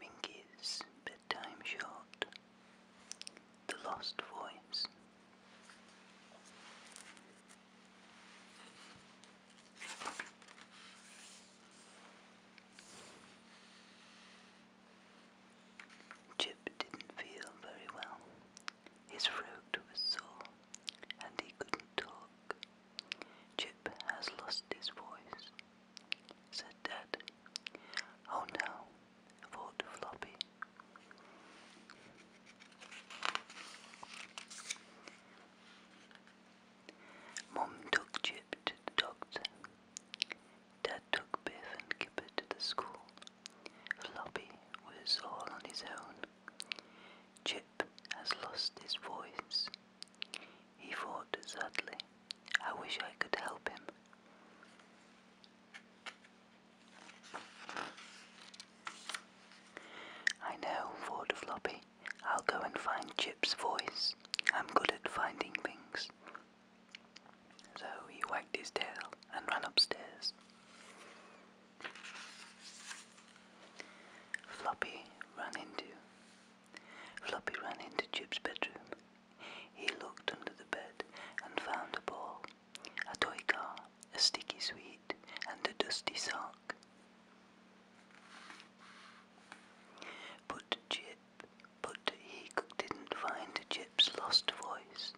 Minky's Bedtime Short The Lost Voice. Chip didn't feel very well. His throat was sore, and he couldn't talk. Chip has lost his voice, said Dad. Oh no, thought Floppy. Mum took Chip to the doctor. Dad took Biff and Kipper to the school. Floppy was all on his own. Chip has lost his voice. He thought sadly, I wish I could help him. I know, thought Floppy. I'll go and find Chip's voice. I'm good at finding things. So he wagged his tail and ran upstairs. Floppy ran into. Floppy ran into Jib's bedroom. He looked under the bed and found a ball, a toy car, a sticky sweet, and a dusty sock. But Jip, but he didn't find Jip's lost voice.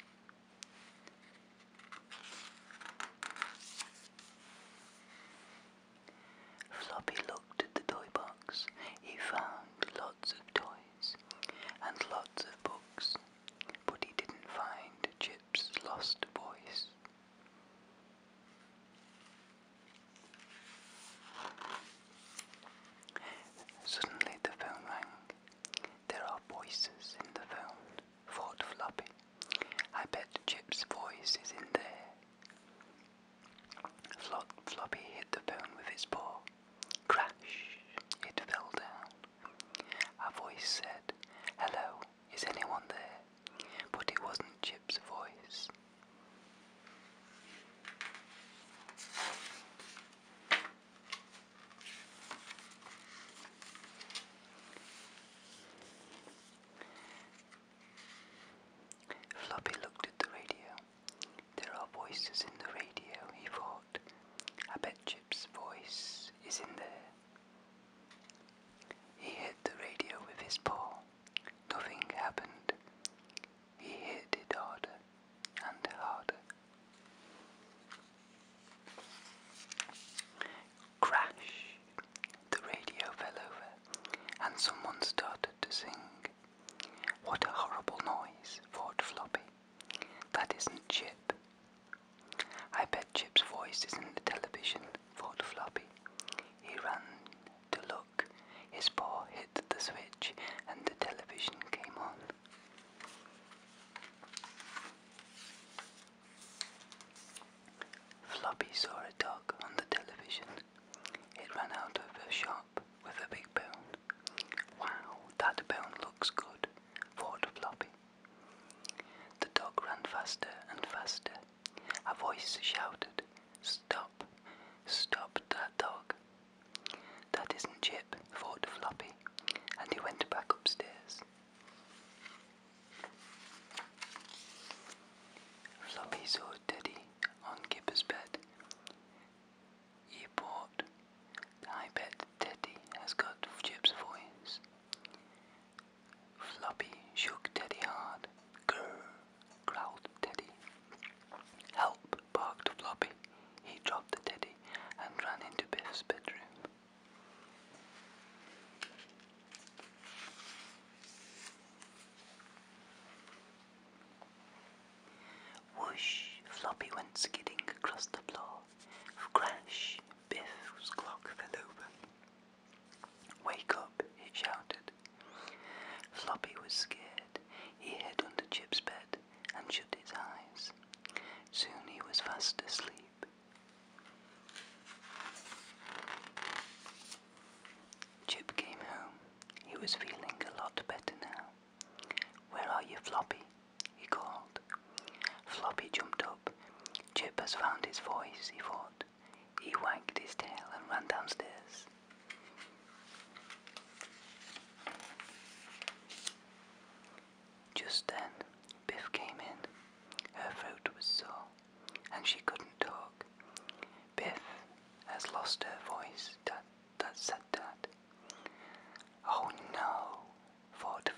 Floppy looked at the toy box. He found lots of toys and lots of books, but he didn't find Chip's lost voice. Suddenly the phone rang. There are voices in the phone thought Floppy. I bet Chip's voice is in there. Flop, Floppy hit the bone with his paw. Crash! It fell down. A voice said, Hello, is anyone there? But it wasn't Chip's voice. Floppy looked at the radio. There are voices in the radio, he thought. I bet Chip's voice is in there. He hit the radio with his paw. Nothing happened. He hit it harder and harder. Crash! The radio fell over, and someone started to sing. What a horrible noise, thought Floppy. That isn't Chip. I bet Chip's voice is in the television, thought Floppy. He ran to look. His paw hit the switch, and the television came on. Floppy saw a dog on the television. It ran out of the shop with a big bone. Wow, that bone looks good, thought Floppy. The dog ran faster and faster. A voice shouted, Stop, stop that dog. That isn't Chip, thought Floppy, and he went back upstairs. Floppy saw Teddy on Gipper's bed. He bought. I bet Teddy has got Chip's voice. Floppy shook Teddy hard. Grr, growled Teddy. Help, barked Floppy. He dropped the Teddy and ran into Biff's bedroom. Whoosh, Floppy went skidding across the floor. Crash, Biff's clock fell over. Wake up, He shouted. Floppy was scared. He hid under Chip's bed and shut his eyes. Soon he was fast asleep. Chip came home. He was feeling a lot better now. Where are you, Floppy? he called. Floppy jumped up. Chip has found his voice, he thought. He wagged his tail and ran downstairs. Just then, Biff came in. Her throat was sore and she couldn't talk. Biff has lost her voice, Dad, Dad said Dad. Oh no, for the